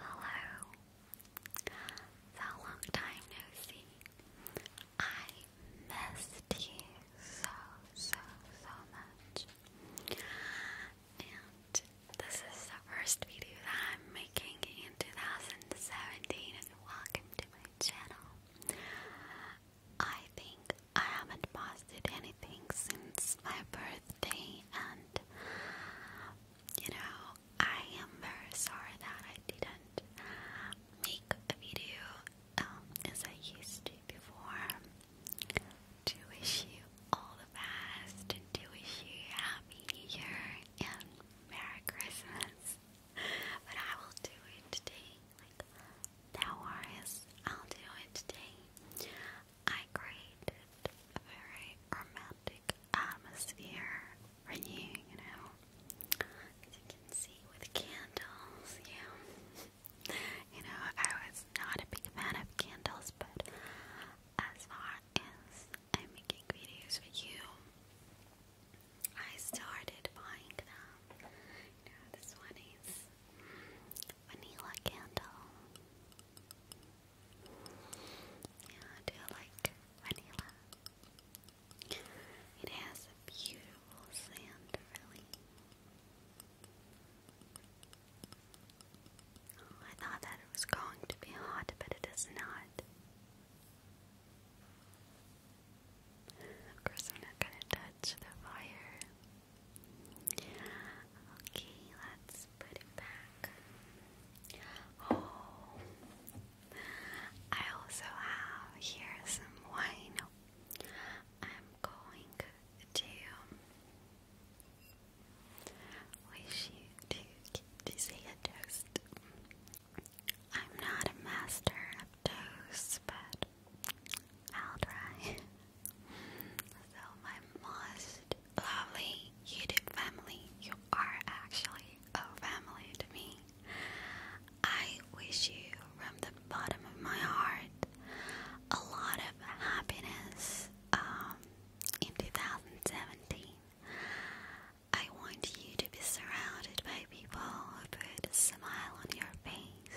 Hello. So long time no see. I missed you so, so, so much. And this is the first video that I'm making in 2017 and welcome my channel. I think I haven't posted anything since my birthday, and you know, I am very sorry that I didn't make a video um, as I used to before. To wish you all the best, and to wish you a happy new year and Merry Christmas but I will do it today. Like, no worries, I'll do it today. I created a very romantic atmosphere for you, you know. As you can see with candles, yeah. you know, I was not a big fan of candles, but as far as I'm making videos for you, I started buying them. You this one is vanilla candle. Yeah, do you like vanilla? It has a beautiful scent, really. Oh, I thought that it was going to be hot, but it is not. Of course, I'm not gonna touch the fire. Okay, let's put it back. Oh, I also have here some wine. I'm going to wish you to, to say a toast. I'm not a master of toes, but I'll try. so, my most lovely YouTube family, you are actually a family to me. I wish you from the bottom of my heart a lot of happiness um, in 2017. I want you to be surrounded by people who put a smile on your face,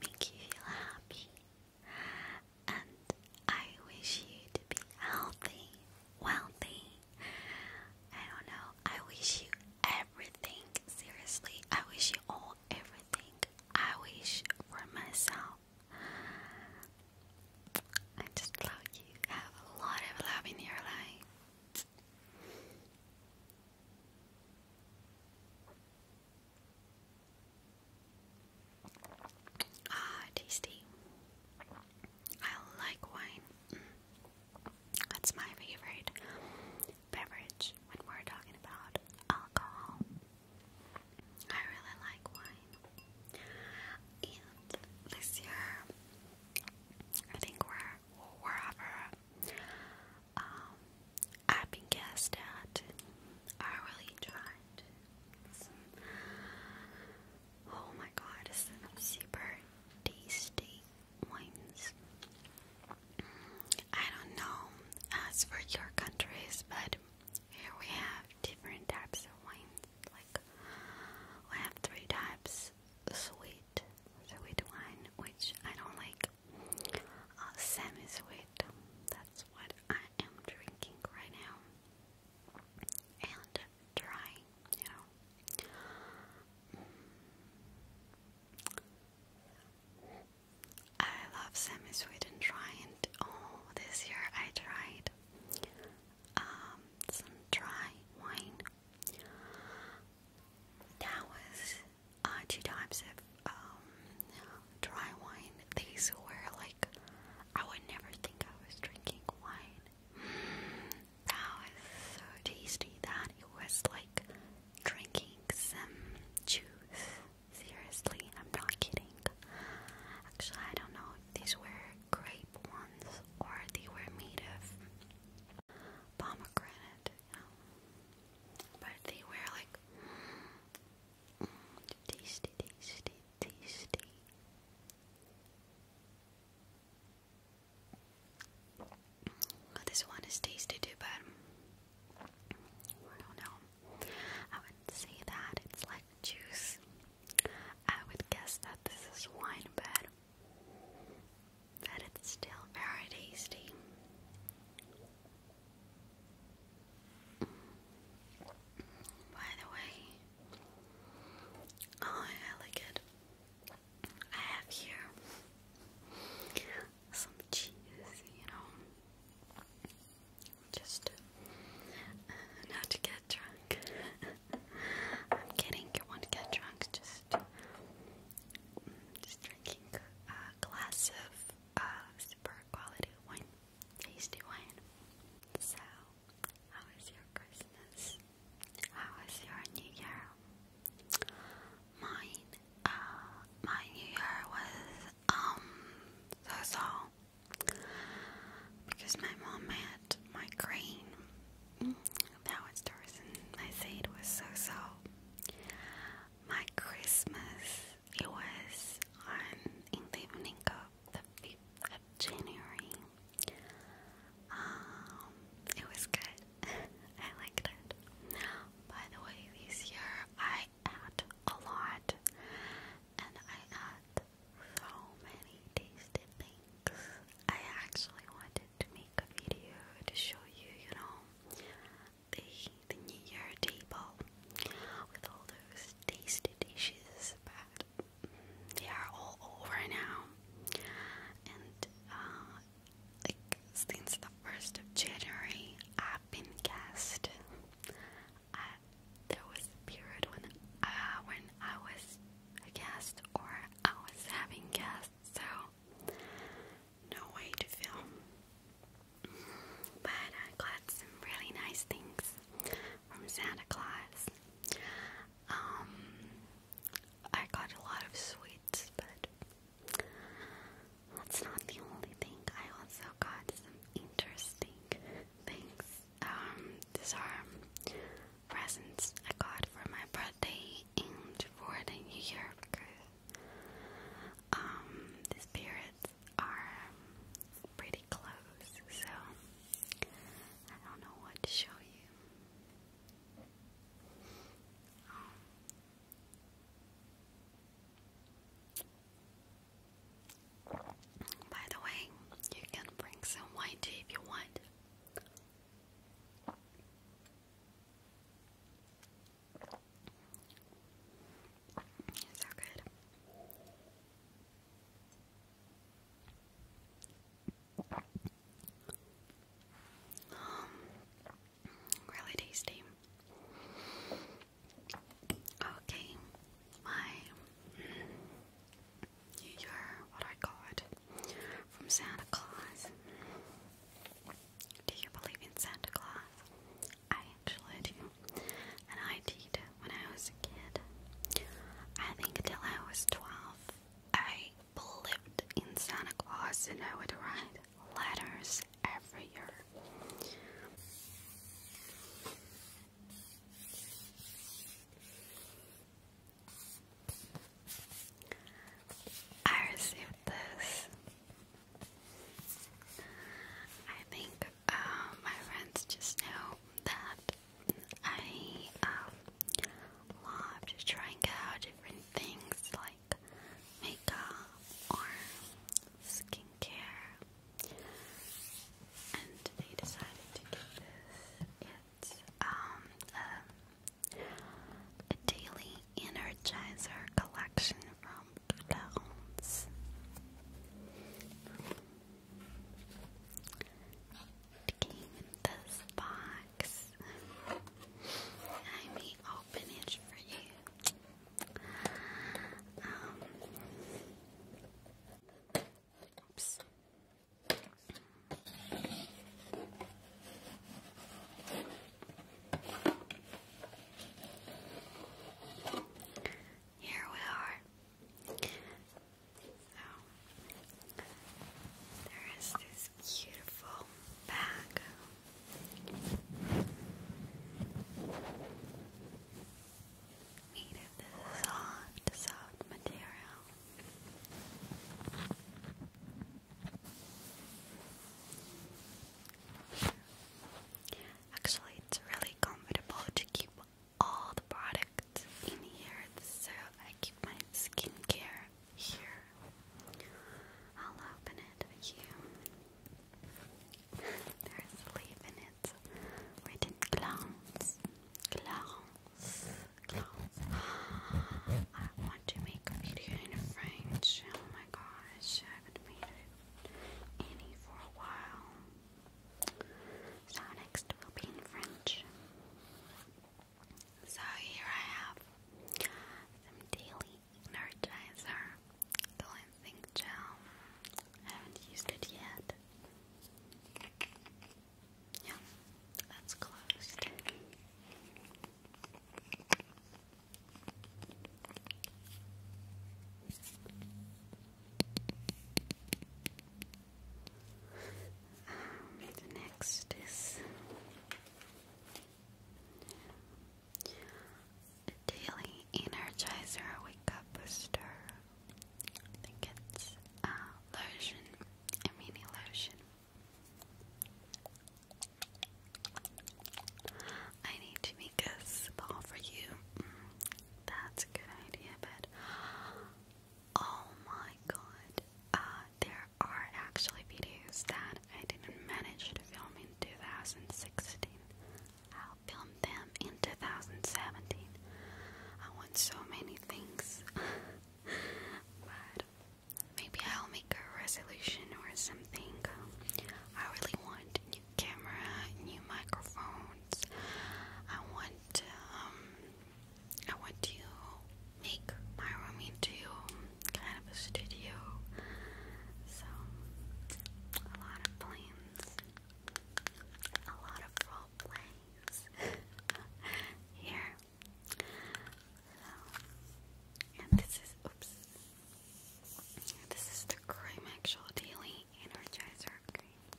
make you feel happy. And I wish you to be healthy, wealthy. I don't know. I wish you everything. Seriously, I wish you all everything. I wish for myself. I just love you. Have a lot of love in your life. Ah, tasty. I like wine. That's my favorite beverage when we're talking about alcohol. I really like wine. And this year I think where wherever um, I've been guessed I really tried. Some, oh my God, some super tasty wines. I don't know as for your countries, but here we have different types of wines like we have three types sweet sweet wine which I don't like uh, semi sweet that's what I am drinking right now and dry you know I love semi sweet and dry and oh this year I tried um, dry wine that was uh, two times of um, dry wine. These were like, I would never think I was drinking wine. That was so tasty that it was like drinking some juice. Seriously, I'm not kidding. Actually, I don't know if these were grape ones or they were made of pomegranate, But they wear like tasty, tasty, tasty. this one is tasty too, but I don't know. I would say that it's like juice. I would guess that this is wine, but but it's still very tasty. By the way, oh, I like it. I have here some cheese, you know, just uh, not to get drunk. I'm kidding, you want to get drunk, just just drinking uh, a glass of uh, super quality wine, tasty wine. So, how was your Christmas? How was your New Year? Mine, uh, my New Year was um so so because my mom made my balanced person. I say it was so so. My Christmas, it was on in Livningo, the 5th of January. Um, it was good. I liked it. By the way, this year I ate a lot and I ate so many tasty things. I actually wanted to make a video to show you, you know, the, the New Year table with all those tasty dishes, but they are all over now. And uh, like since the first of January, I've been cast. there was a period when uh, when I was a guest or I was having guests, so no way to film. But I got some really nice things from Santa Claus. Um, I got a lot of sweets, but that's not the only thing. I also got some interesting things. Um, these are presents I got for my birthday and for the new year because um, the spirits are pretty close, so I don't know what to show you. Um, by the way, you can bring some wine too if you want. So good. Um, really tasty. Okay, my your what I got from Santa Claus. Do you believe in Santa Claus? I actually do, and I did when I was a kid. I think until I was 12, I believed in Santa Claus and I would write letters every year. I received this. I think uh, my friends just know that I um, love just trying out different things like makeup or skincare, and they decided to get this. It's um, a daily energizer collection from Clarence. It came in this box. I may open it for you. Um, oops. Here we are. So, there is this beautiful bag. Made of soft, soft material. Actually, it's really comfortable to keep all the products in here, so I keep my skincare here. I'll open it with you. There's a leaf in it written clowns. I want to make a video in French. Oh my gosh, I haven't made it any for a while. So next will be in French. So here I have some daily energizer cleansing gel. I haven't used it yet. Yeah, that's closed. Um, next is the Daily Energizer Wake Up Booster. I think it's uh, lotion, a mini lotion I need to make a spa for you. Mm, that's a good idea, but oh my god, uh, there are actually videos that I didn't manage to film in 2016. I'll film them in 2017. I want so many things, but Maybe I'll make a resolution or something. I really want new camera, new microphones. I want um I want to make my room into kind of a studio. So a lot of plans. A lot of role plays here. So, and this is This is the cream actual daily energizer cream.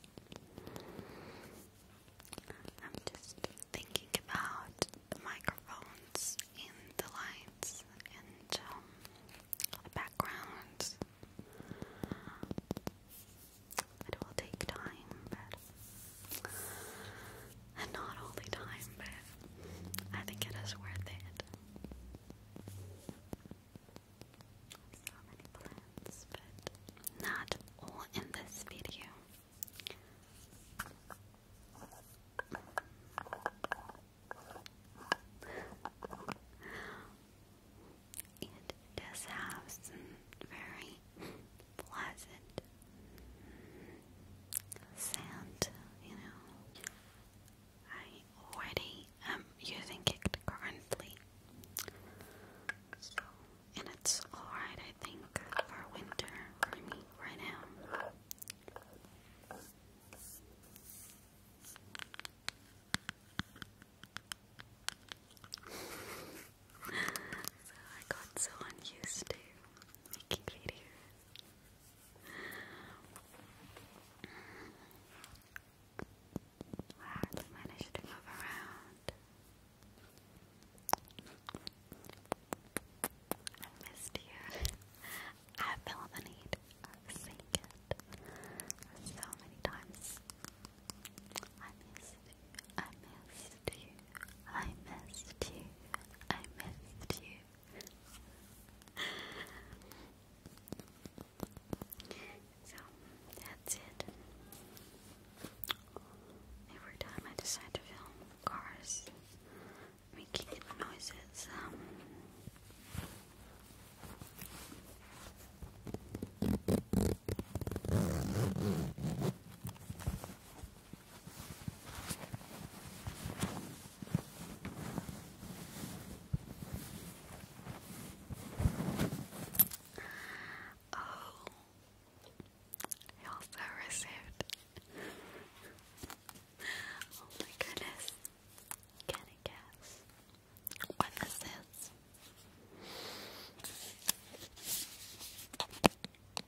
I'm just thinking about the microphones and the lights and um, the backgrounds. It will take time, but and not all the time, but I think it is worth it. not all in this video. It does have some very pleasant sound, you know. I already am using it currently. So, and it's alright, I think, for winter for me right now. I got so unused to making videos. I managed to move around. I missed you. I felt the need of saying it so many times. I miss you. I missed you. I missed you. I missed you. so that's it. Every time I decide to film cars making noises, um, Oh, you also received. oh my goodness. Can I guess what this is?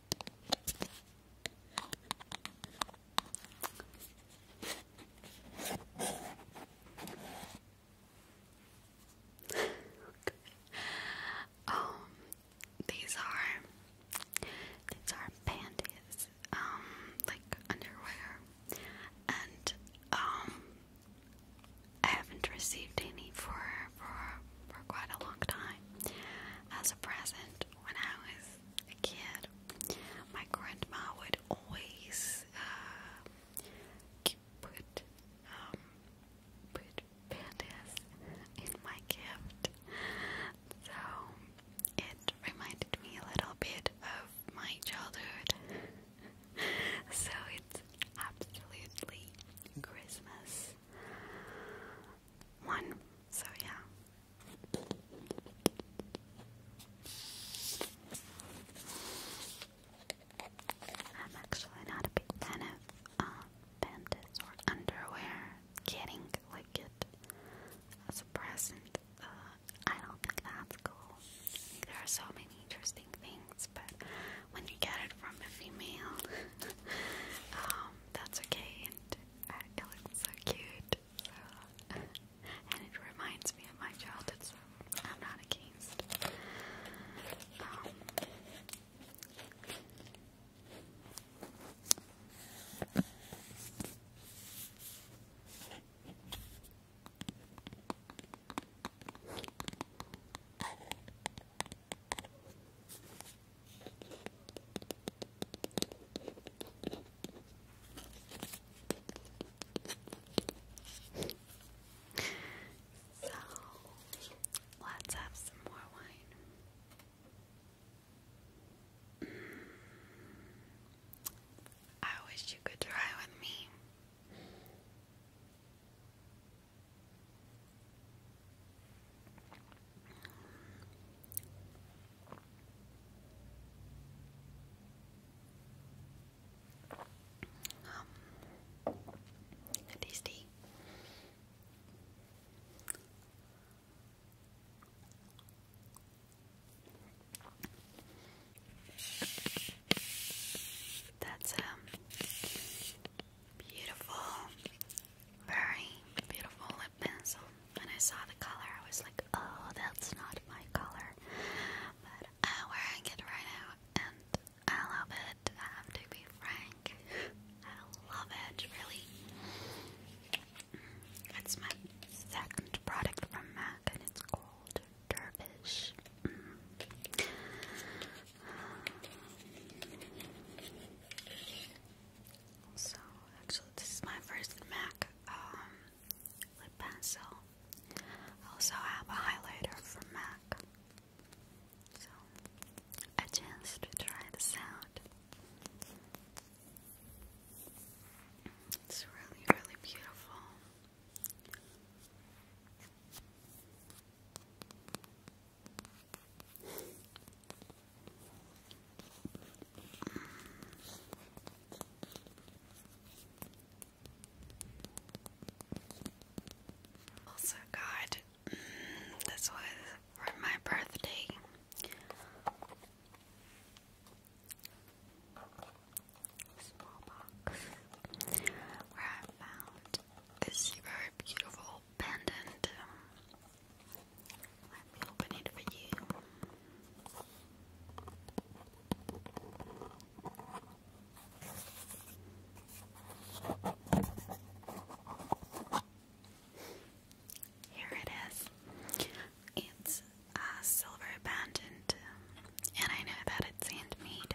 um, these are these are panties, um, like underwear, and um, I haven't received any for for for quite a long time as a present when I was a kid. My grandma would always uh, put um, put pandas in my gift, so it reminded me a little bit of my childhood. so it's absolutely Christmas one. So, yeah. I'm actually not a big fan of uh, panties or underwear getting like it as a present. Uh, I don't think that's cool. There are so many interesting things, but when you get it from a female, um, that's okay, and uh, so cute. So, and it reminds me of my childhood, so I'm not against. Um, so let's have some more wine. Mm. I wish you could try with me. Um, tasty. That's um Beautiful, very beautiful lip pencil. When I saw the color, I was like, oh, that's not my color. But I'm wearing it right now, and I love it. I have to be frank. I love it, really. It's my second product from MAC, and it's called Dervish. So actually this is my first MAC um, lip pencil. I also have a highlighter from MAC. So a chance to try this out. It's really, really beautiful. Also, God, this was for my birthday. Small box where I found this very beautiful pendant. Let you. Here it is. It's a silver pendant, and I know that it's handmade.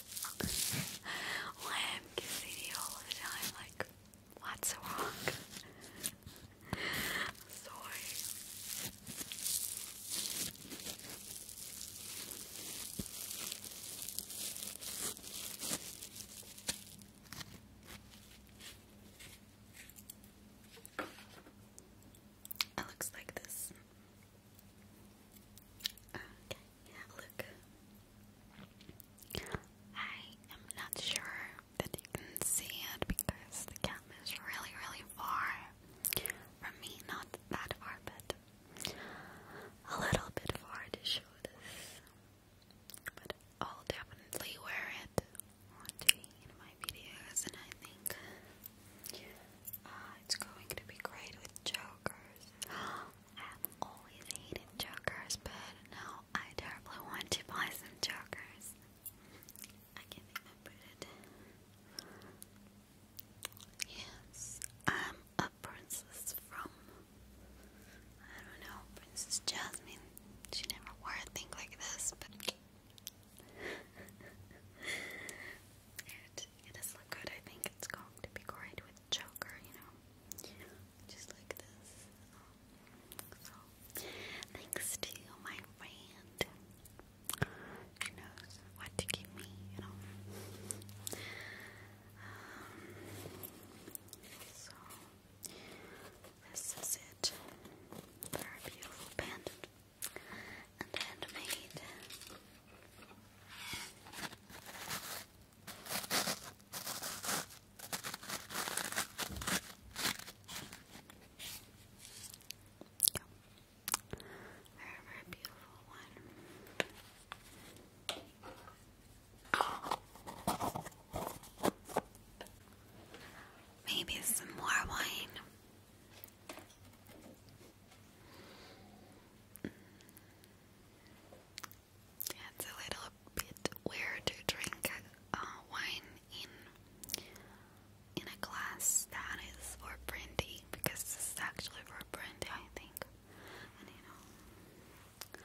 lamb gets CD all the time. Like, what's wrong? Sorry. It looks like this. Okay. Look, I am not sure that you can see it because the camera is really, really far from me. Not that far, but a little bit far to show this. But I'll definitely wear it one day in my videos, and I think uh, it's going to be great with jokers. I have always hated jokers, but now I terribly want to buy some jokers. I can even put it. Yes, I'm a princess from I don't know, Princess Jasmine. She never wore a thing like this, but it, does look good. I think it's going to be great with Joker, you know, just like this. Um, so, thanks to my friend, she knows what to give me, you know. Um, so, this is it. Very beautiful pendant and handmade. I remember beautiful one. Maybe some more wine. It's a little bit weird to drink uh, wine in in a glass that is for brandy because this is actually for brandy, I think. And you know,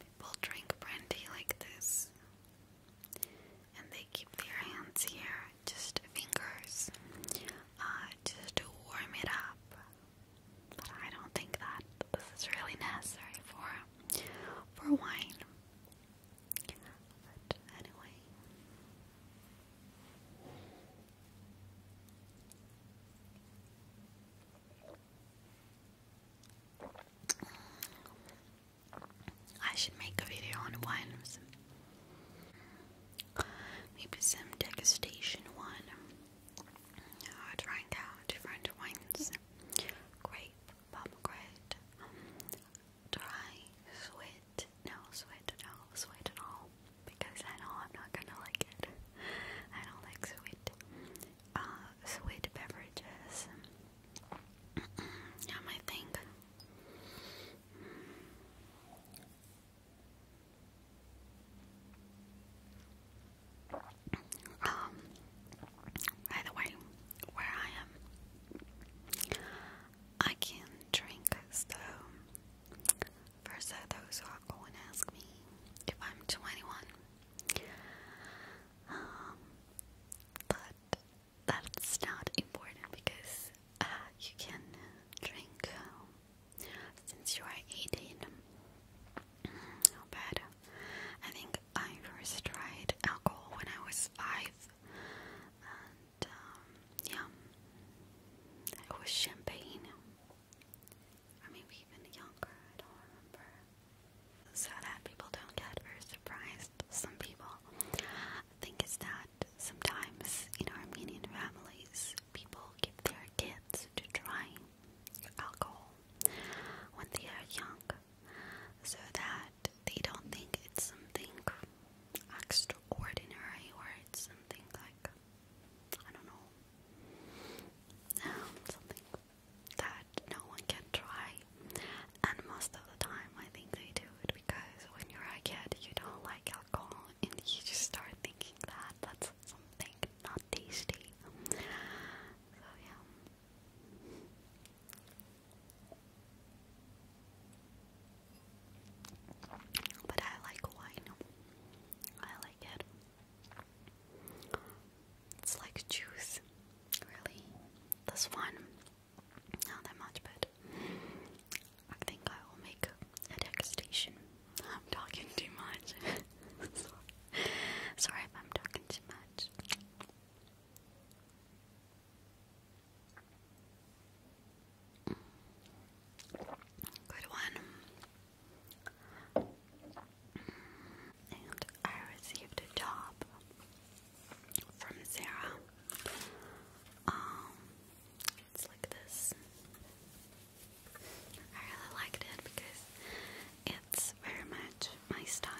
people drink brandy like this, and they keep their hands here, just fingers, uh, just to warm it up. But I don't think that this is really necessary for for wine. But anyway. I should make a video on wines. Maybe some degustation one uh, trying out different wines grape, pomegranate, dry, sweet, no sweet at sweet at all, because I know I'm not gonna like it. I don't like sweet, uh, sweet beverages. Now my thing. Um, by the way, where I am, I can drink, so first those who are going to ask me if I'm 21, um, but that's not important because uh, you can drink um, since you are 18. Mm, how bad. I think I first tried alcohol when I was 5. And, um, yeah. It was champagne. Or maybe even younger, I don't remember. So that people don't get very surprised, some people think it's that sometimes in Armenian families people give their kids to try alcohol when they are young so that they don't think it's something extraordinary or it's something like, I don't know, um, something that no one can try. And most of the time, I think they do it because when you're a kid, you don't like alcohol, and you just start thinking that that's something not tasty. So yeah. But I like wine. I like it. It's like juice, really. This one, not that much, but I think I will make a degustation I'm talking too much. Sorry. if I'm talking too much. Good one. And I received a job from Sarah. Um, baskets like this. I really liked it because it's very much my style.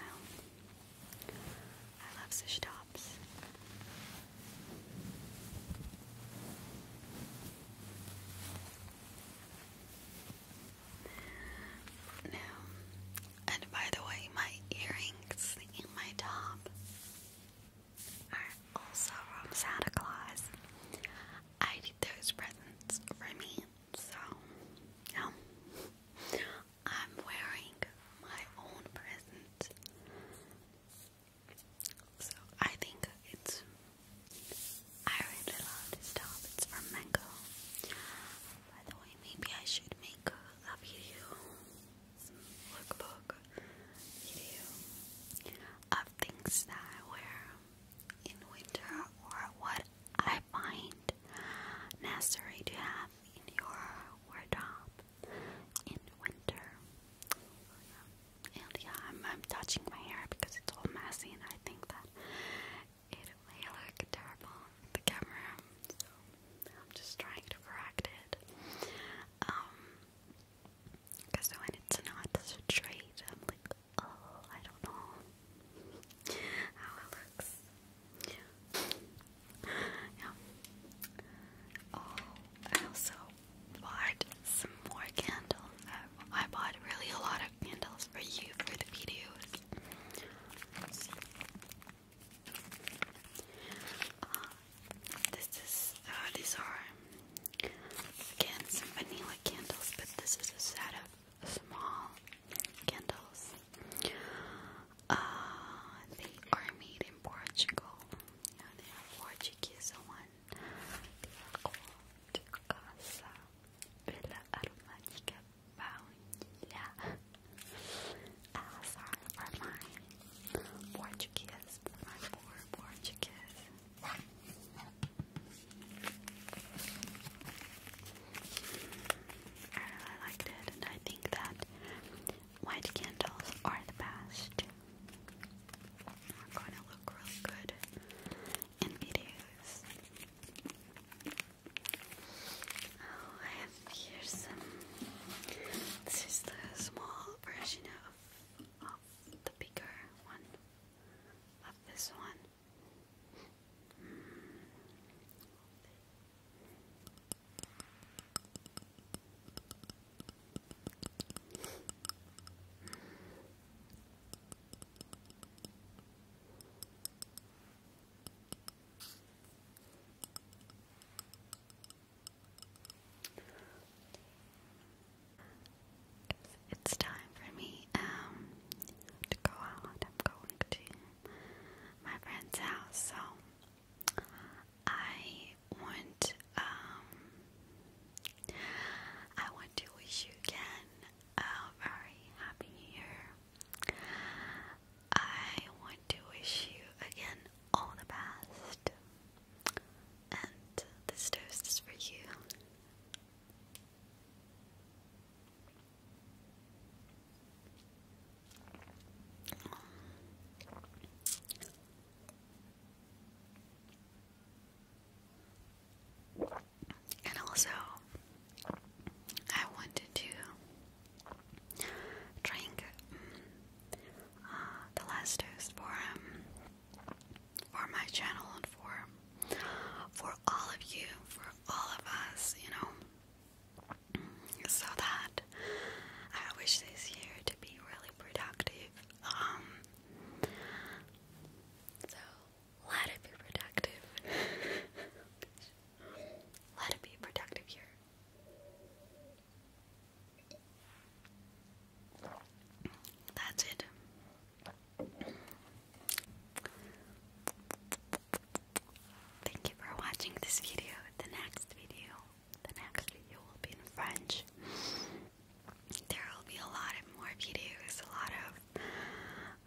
I love sushi tops. Now, and by the way, my earrings in my top are also from Santa Claus. I keep those presents for me. So, yeah. I'm wearing my own present. So, I think it's. I really love this top. It's from Mango. By the way, maybe I should make a video, lookbook video of things that I wear in winter or what I find necessary to have in your wardrobe in winter. And yeah, I'm, I'm touching my hair because it's all messy and I think that it may terrible the camera. So I'm just trying to correct it. Um, because when it's not straight, I'm like, Oh, I don't know how it looks. Yeah. Oh, I also bought some more candles. I, bought really a lot of candles for you for the videos. Uh, this is uh, these are Again, some vanilla candles, but this is a set of small candles. Uh, they are made in Portugal. You they are Portuguese one. They are called Casa Vela Aromática Baunilha. Ah, sorry for Portuguese, for my Portuguese. I really liked it, and I think that white candles are the best. are going to look really good in videos. Oh, I some. This is the small version of, of the bigger one. Love this one. It's, time for me um to go out. I'm going to my friend's house, so I want um I want to wish you again a very happy new year. I want to wish you again all the best. And this toast is for you. And also, I wanted to drink mm, uh, the last dose for um, for my channel and for for all of you, for all of us, you know. So that I wish this year to be really productive. Um, so let it be productive. let it be productive here. That's it. Thank you for watching this video. The next video, the next video will be in French. There will be a lot more videos, a lot of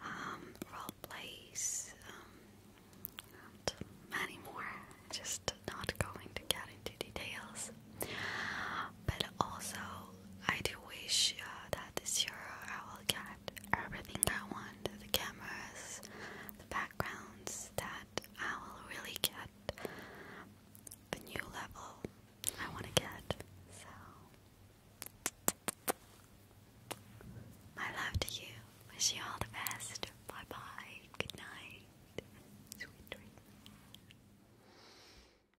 um, role plays, um, and many more. Just not going to get into details. But also, I do wish uh, that this year I will get everything I want the cameras, the backgrounds that I will really get the new level I want to get. So, my love to you. Wish you all the best. Bye bye. Good night. Sweet dreams.